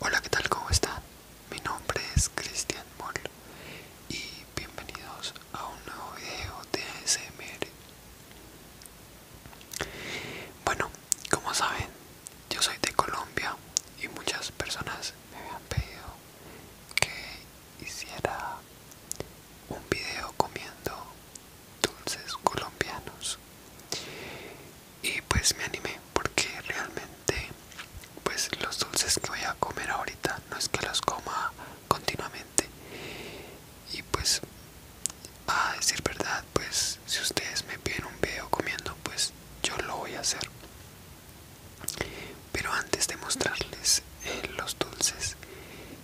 Hola, ¿qué tal? ¿Cómo están? Mi nombre es Cristian Moll y bienvenidos a un nuevo video de ASMR. Bueno, como saben, yo soy de Colombia y muchas personas me habían pedido que hiciera un video comiendo dulces colombianos y pues me animé porque realmente pues los dulces que voy a comer ahorita no es que los coma continuamente y pues a decir verdad pues si ustedes me piden un video comiendo pues yo lo voy a hacer pero antes de mostrarles eh, los dulces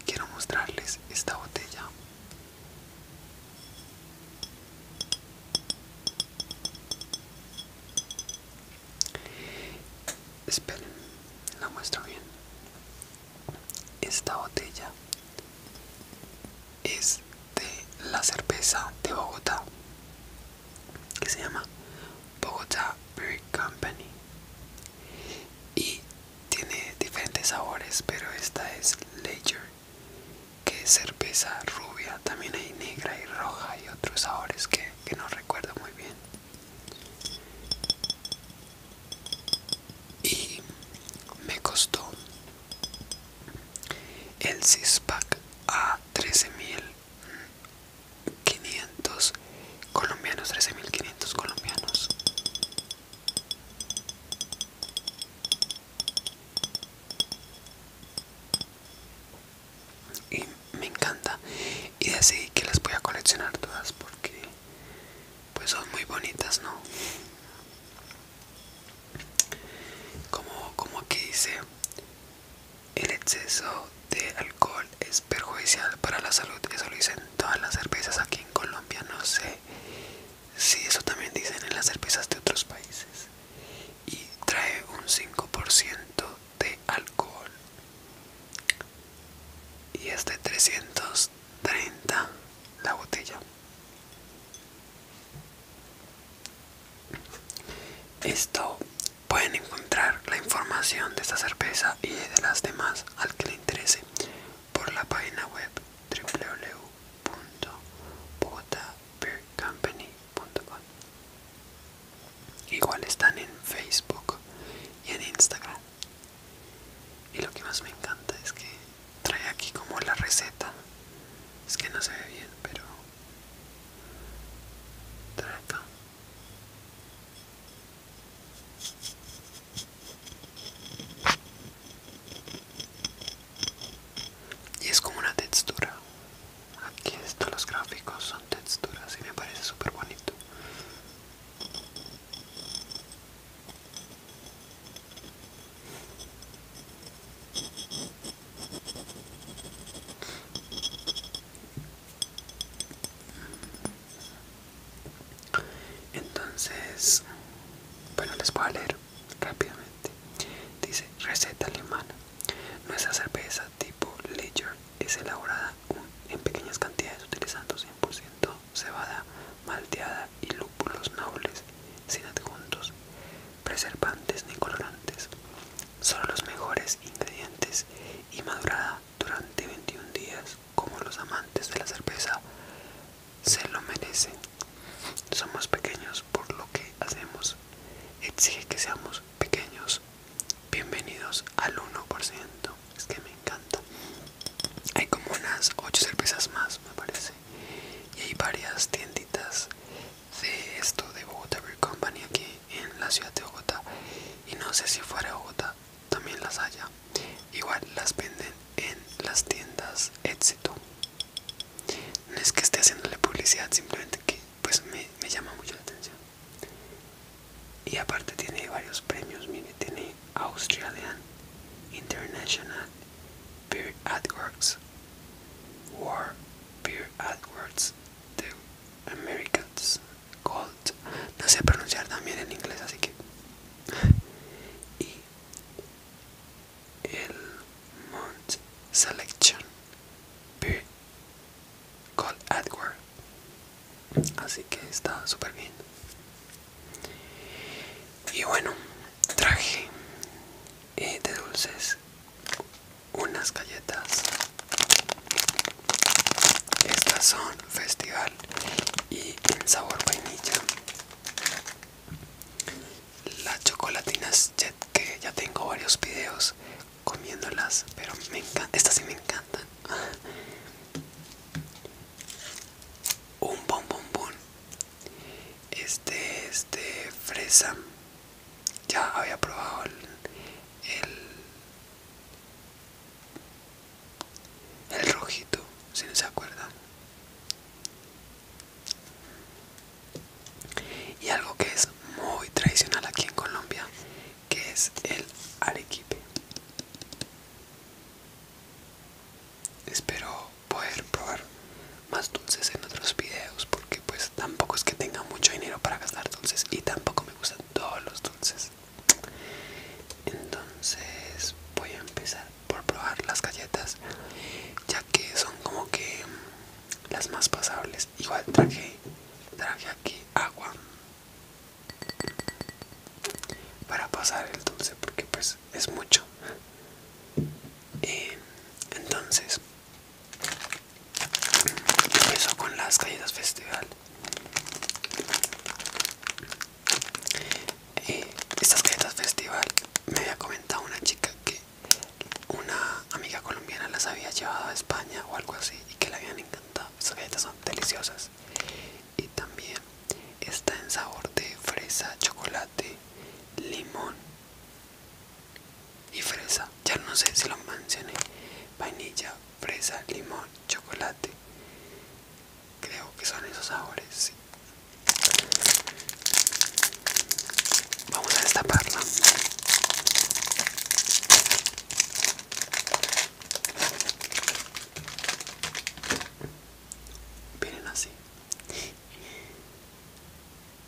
quiero mostrarles esta botella Esperen, la muestro bien. Esta botella es de la cerveza de Bogotá que se llama Bogotá Beer Company y tiene diferentes sabores, pero esta es Lager que es cerveza rubia, también hay negra y roja y otros sabores que, no recuerdo muy bien. Y me costó el pack a 13.500 colombianos, 13.500 colombianos y me encanta y decidí que las voy a coleccionar todas porque pues son muy bonitas no como como aquí dice el exceso de alcohol es perjudicial para la salud eso lo dicen todas las cervezas aquí en Colombia no sé si eso también dicen en las cervezas de otros países y trae un 5% de alcohol y es de 330 la botella esto pueden encontrar la información de esta cerveza y de las demás al que le interese por la página web www com Igual están en Facebook y en Instagram. Y lo que más me encanta es que trae aquí como la receta. Es que no se ve bien, pero trae y es como una textura aquí están los gráficos son texturas y me parece súper bonito entonces bueno les voy a leer rápidamente. Dice receta alemana. Nuestra cerveza tipo Lager es elaborada en pequeñas cantidades utilizando 100% cebada malteada y lúpulos nobles sin adjuntos, preservantes ni colorantes. Son los mejores ingredientes y madurada durante 21 días como los amantes de la cerveza se lo merecen. Somos pequeños por lo que hacemos. Exige que seamos pequeños. Bienvenidos al 1%. Es que me encanta. Hay como unas 8 cervezas más, me parece. Y hay varias tienditas de esto de Bogotá Company aquí en la ciudad de Bogotá. Y no sé si fuera Bogotá también las haya. Igual las venden en las tiendas Éxito. No es que esté haciéndole publicidad, simplemente que pues me, llama mucho la atención. Y aparte tiene varios premios, mire, tiene Australian International Peer AdWords, War Peer AdWords The America's Gold. No sé pronunciar también en inglés, así que. Y el Mount Selection Beer Cold Edward así que está súper bien y bueno traje eh, de dulces unas galletas estas son festival y en sabor vainilla las chocolatinas jet que ya tengo varios videos comiéndolas pero me encanta estas sí me encantan un bombombón este es de fresa ya había probado el, el el rojito si no se acuerdan y algo que es muy tradicional aquí en Colombia, que es el arequipe. Espero poder probar más dulces en otros videos porque pues tampoco es que tenga mucho dinero para gastar dulces y tampoco me gustan todos los dulces. Entonces voy a empezar por probar las galletas ya que son como que las más pasables igual traje traje aquí agua para pasar el dulce porque pues es mucho eh, entonces empiezo con las galletas festival y eh, estas galletas festival me había comentado una chica que una amiga colombiana las había llevado a España o algo así y que le habían encantado. Estas galletas son deliciosas. Y también está en sabor de fresa, chocolate, limón y fresa. Ya no sé si lo mencioné. Vainilla, fresa, limón, chocolate. Creo que son esos sabores. Vamos a destaparla. Vienen así.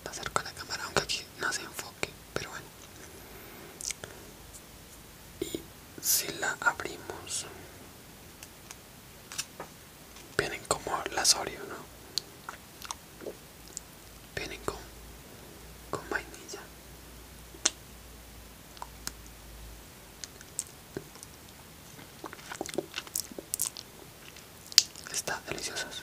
Pasar con la cámara, aunque aquí no se enfoque, pero bueno. Y si la abrimos, vienen como las Oreo, ¿no? vienen con, vainilla está deliciosas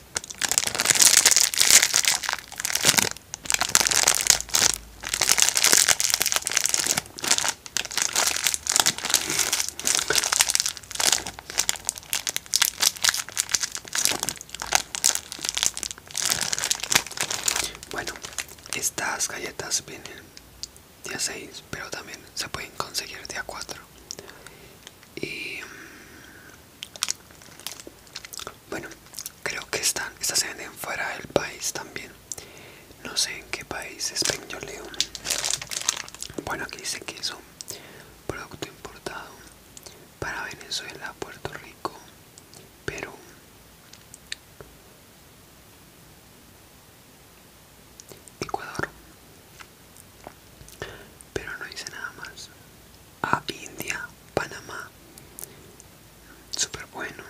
Bueno, estas galletas vienen día seis, 6, pero también se pueden conseguir día a 4. Y mm, bueno, creo que están, estas se venden fuera del país también. No sé en qué país es leo Bueno, aquí dice que es producto importado para Venezuela, Puerto Rico, Perú. Ecuador, pero no hice nada más a India, Panamá súper bueno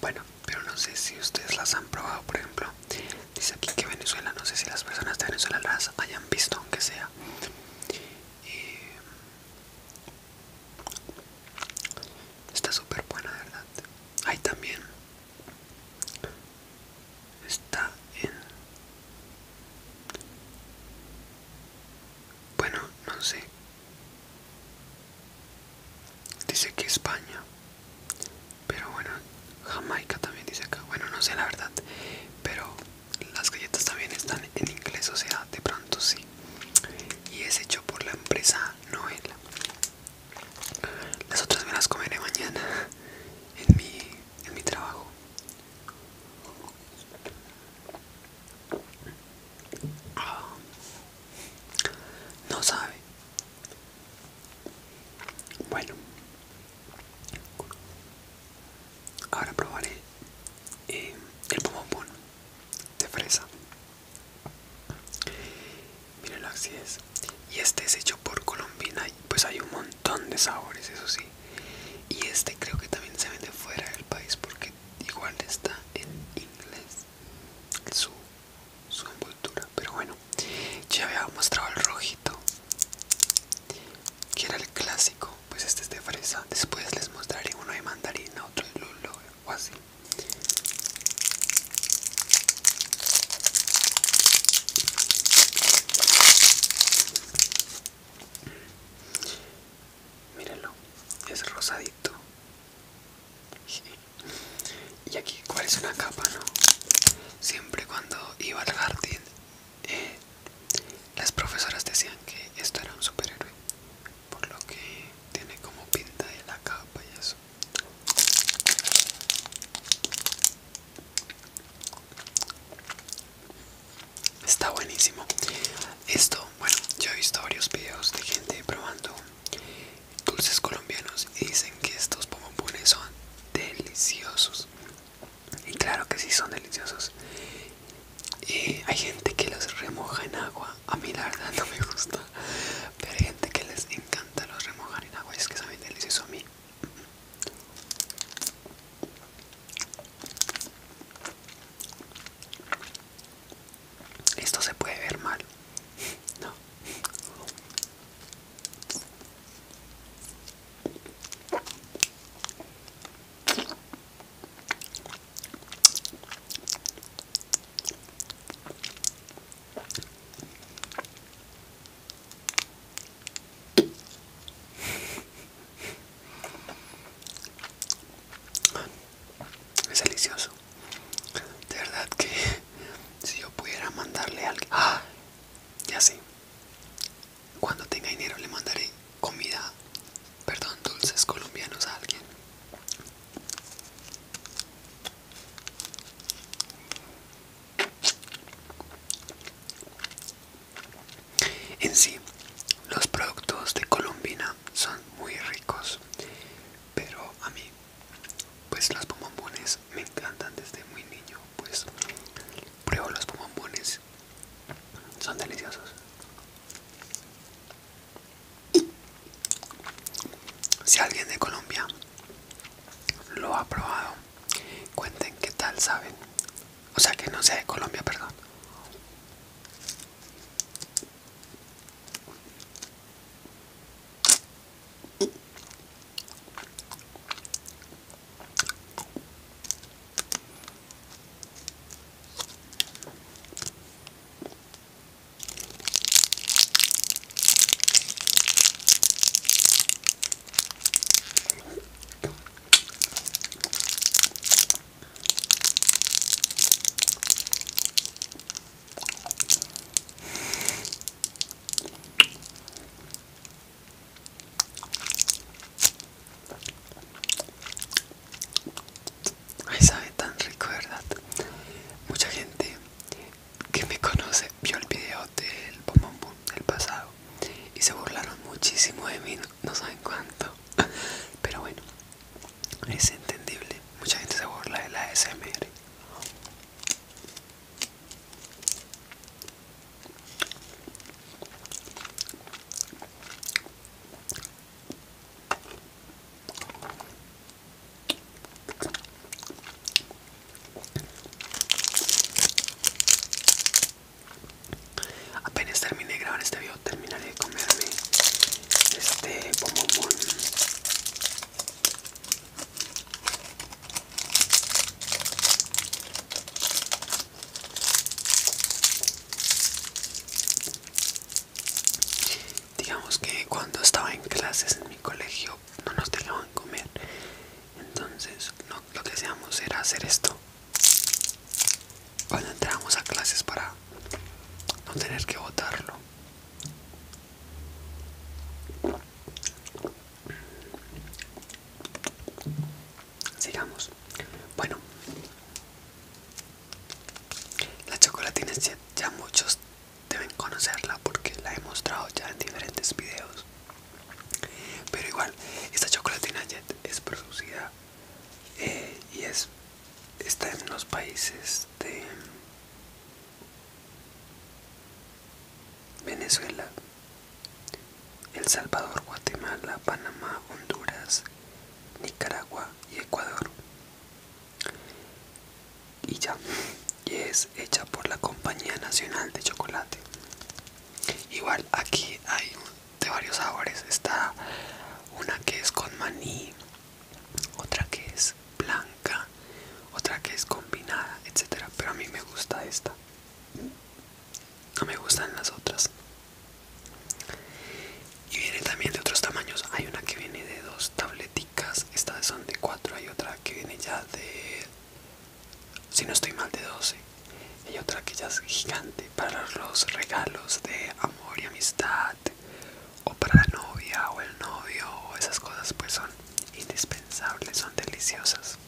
bueno, pero no sé si ustedes las han probado, por ejemplo dice aquí que Venezuela, no sé si las personas de Venezuela las hayan visto, aunque sea eh, está súper buena, verdad hay también está en bueno no sé dice que España pero bueno Jamaica también dice acá bueno no sé la verdad pero las galletas también están en inglés o sea de pronto sí y es hecho por la empresa Noel las otras me las comeré mañana en mi en mi trabajo. Ah, no sabe. Bueno, ahora probaré eh, el pomopón de fresa. mire la es y este es hecho por Colombina pues hay un montón de sabores eso sí y este creo que también se vende fuera del país porque igual está en inglés su, envoltura pero bueno ya había mostrado el rojito que era el clásico pues este es de fresa después les mostraré uno de mandarina otro de lulo o así Mírenlo, es rosadito. Y aquí, ¿cuál es una capa, no? Siempre cuando iba al jardín, eh, las profesoras decían que esto era un superhéroe, por lo que tiene como pinta de la capa y eso. Está buenísimo. Esto, bueno, yo he visto varios videos de gente probando dulces colombianos y dicen que estos pompones son deliciosos. Y claro que sí son deliciosos. hay gente que los remoja en agua. A mí la verdad no me gusta. Pero hay gente que les encanta los remojar en agua. Y Es que saben delicioso a mí. Esto se puede ver mal. No. Es delicioso. De verdad que si yo pudiera mandarle algo... ¡Ah! Ya sé. Cuando tenga dinero le mandaré comida, perdón, dulces colombianos a alguien. En sí, los productos de Colombina son muy ricos, pero a mí, pues los bombones me encantan desde muy niño, pues pruebo los bombones, son deliciosos. Si alguien de Colombia lo ha probado, cuenten qué tal saben. O sea, que no sea de Colombia, perdón. Ay, sabe tan rico, ¿verdad? Mucha gente que me conoce vio el video del bombón del pasado y se burlaron muchísimo de mí, no, saben cuánto. Pero bueno, es entendible. Mucha gente se burla de la ASMR. Apenas terminé de grabar este video, terminaré de comerme este pomomón Digamos que cuando estaba en clases en mi colegio no nos dejaban comer, entonces lo que hacíamos era hacer esto cuando entramos a clases para no tener que votarlo. Sigamos. Bueno, la chocolatina ya muchos deben conocerla porque la he mostrado ya en diferentes videos. Pero igual, esta chocolatina Jet es producida eh, y es está en los países de Venezuela, El Salvador, Guatemala, Panamá, Honduras, Nicaragua y Ecuador. Y ya, y es hecha por la Compañía Nacional de Chocolate igual aquí hay de varios sabores está una que es con maní otra que es blanca otra que es combinada etcétera pero a mí me gusta esta no me gustan las otras y viene también de otros tamaños hay una que viene de dos tableticas estas son de cuatro hay otra que viene ya de si no estoy mal de 12 y otra que ya es gigante para los regalos de amor y amistad o para la novia o el novio o esas cosas pues son indispensables son deliciosas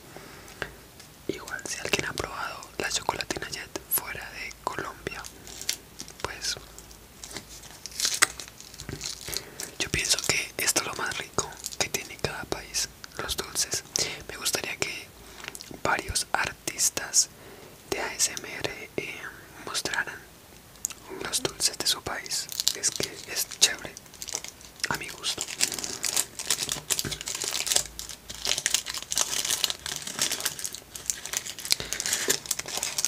igual si alguien ha probado la chocolatina jet fuera de colombia pues yo pienso que esto es lo más rico que tiene cada país los dulces. Me gustaría que varios artistas de ASMR eh, mostraran los dulces de su país. Es que es chévere, a mi gusto.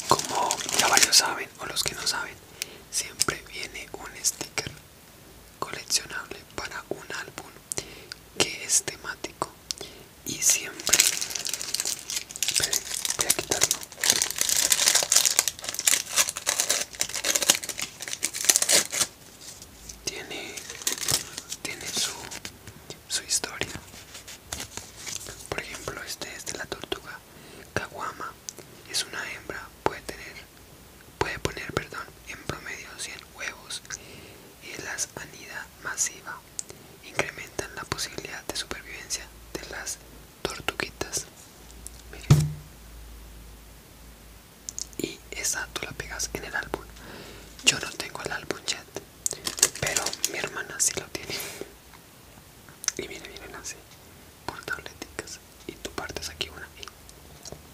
Como ya varios saben, o los que no saben, siempre viene un sticker coleccionable para un álbum que es temático y siempre voy a quitarlo tiene tiene su su historia por ejemplo este es de la tortuga caguama es una hembra puede tener puede poner perdón, en promedio 100 huevos y las anida masiva incrementan la posibilidad de supervivencia de las tortuguitas Miren. y esa tú la pegas en el álbum yo no tengo el álbum chat pero mi hermana sí lo tiene y miren, miren así por tableticas y tú partes aquí una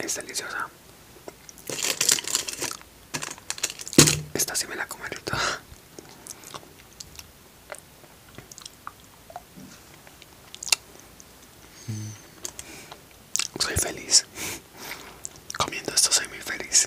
Es deliciosa. Esta sí me la comen, Soy feliz. Comiendo esto soy muy feliz.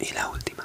y la última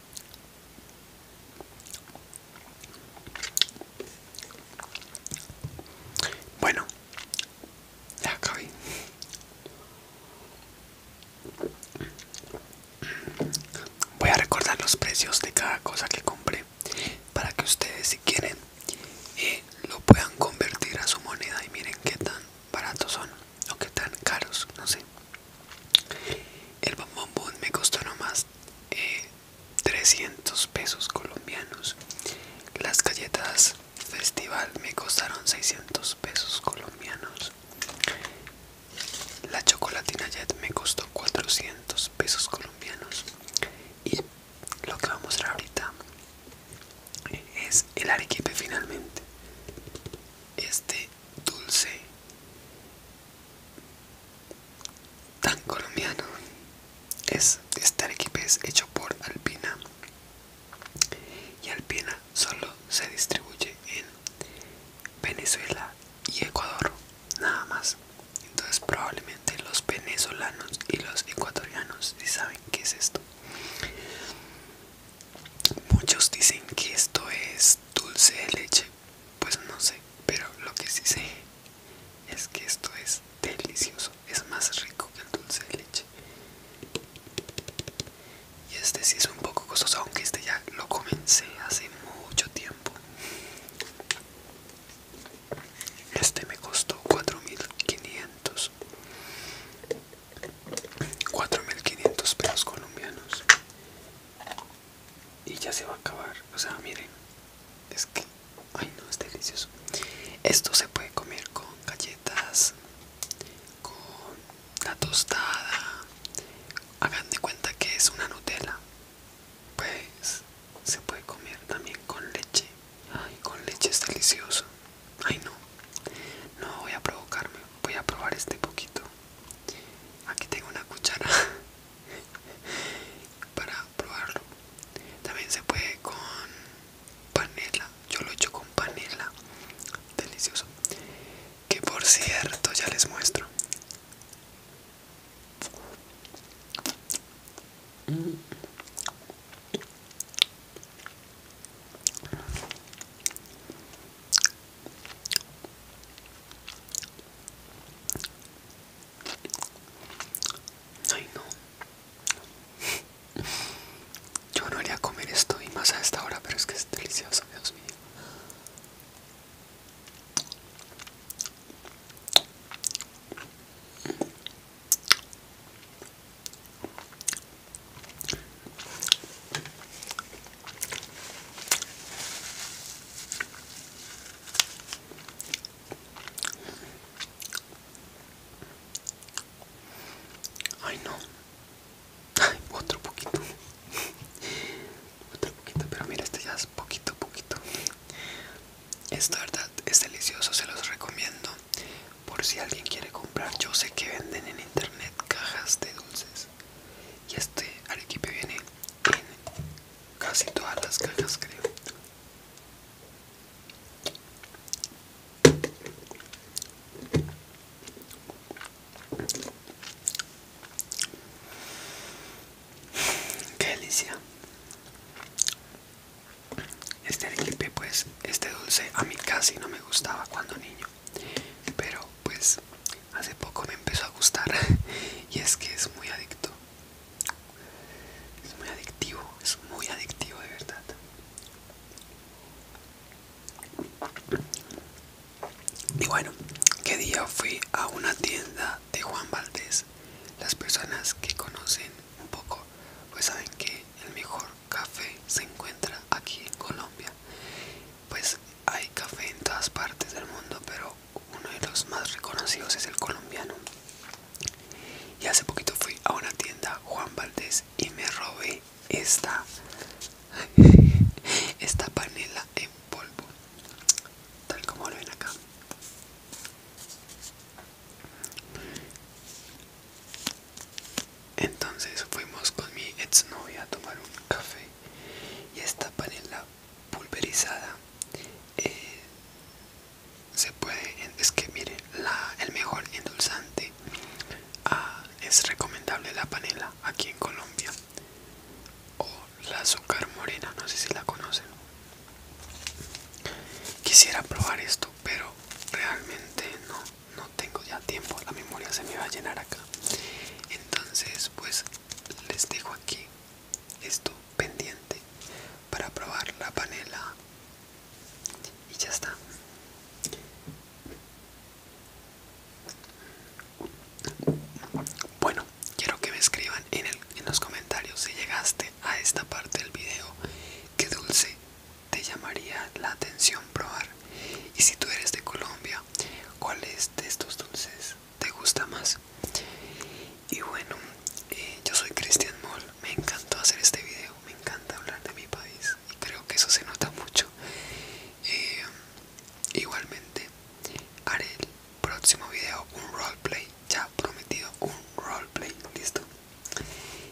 Bueno, ya acabé. Voy a recordar los precios de cada cosa que compré para que ustedes si quieren eh, lo puedan convertir a su moneda y miren qué tan baratos son o qué tan caros, no sé. El bombón me costó nomás 300 eh, pesos colombianos. Las galletas festival me costaron 600 pesos colombianos. La chocolatina jet me costó 400 pesos colombianos. Y lo que vamos a mostrar ahorita es el arequipe finalmente. Este dulce tan colombiano es estar es pues, hecho por Alpina y Alpina solo se distribuye en Venezuela y Ecuador nada más entonces probablemente los venezolanos y los ecuatorianos saben qué es esto muchos dicen que esto es dulce de leche pues no sé, pero lo que sí sé es que esto es delicioso, es más rico que el dulce de leche. Y este sí es un poco costoso, aunque este ya lo comencé hace mucho tiempo. Este me costó 4.500. 4.500 pesos colombianos y ya se va a acabar. O sea, miren, es que, ay no, es delicioso. Esto se puede comer con galletas, con la tostada. Hagan de cuenta que es una Nutella. Pues se puede comer también con leche. Ay, con leche es delicioso. Ay no, no voy a provocarme. Voy a probar este poquito. Aquí tengo una cuchara para probarlo. También se puede con panela. Yo lo he hecho con panela. Delicioso. Que por cierto ya les muestro. Ay no. Yo no haría comer esto y más a esta hora, pero es que es delicioso, Dios mío. Ay no. otro poquito. otro poquito, pero mira, este ya es poquito, poquito. Esta verdad es delicioso, se los recomiendo. Por si alguien quiere comprar, yo sé que venden en internet cajas de dulces. Y este arequipe viene en casi todas las ganas creo Qué delicia Este arequipe pues Este dulce a mí casi no me gustaba cuando niño Pero pues hace poco me empezó a gustar y es que es muy adicto es muy adictivo es muy adictivo de verdad y bueno qué día fui a una tienda de Juan Valdés las personas que conocen un poco pues saben que el mejor café se encuentra aquí en Colombia pues hay café en todas partes del mundo, pero uno de los más reconocidos es el colombiano. Y hace poquito fui a una tienda Juan Valdés y me robé esta esta panela en polvo, tal como lo ven acá. Entonces fuimos con mi novia a tomar un café y esta panela pulverizada eh, se puede es que miren la, el mejor endulzante ah, es recomendable la panela aquí en Colombia o la azúcar morena no sé si la conocen quisiera probar esto pero realmente no no tengo ya tiempo la memoria se me va a llenar acá entonces pues les dejo aquí esto pendiente para probar la panela y ya está bueno quiero que me escriban en, los comentarios si llegaste a esta parte del video qué dulce te llamaría la atención probar y si tú eres de Colombia cuál es de estos dulces te gusta más y bueno eh, yo soy Cristian Moll me encantó hacer este video me encanta hablar de mi país y creo que eso se nota mucho eh, igualmente haré el próximo video un roleplay ya prometido un roleplay listo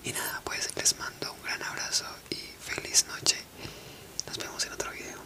y nada pues les mando un gran abrazo y feliz noche nos vemos en otro video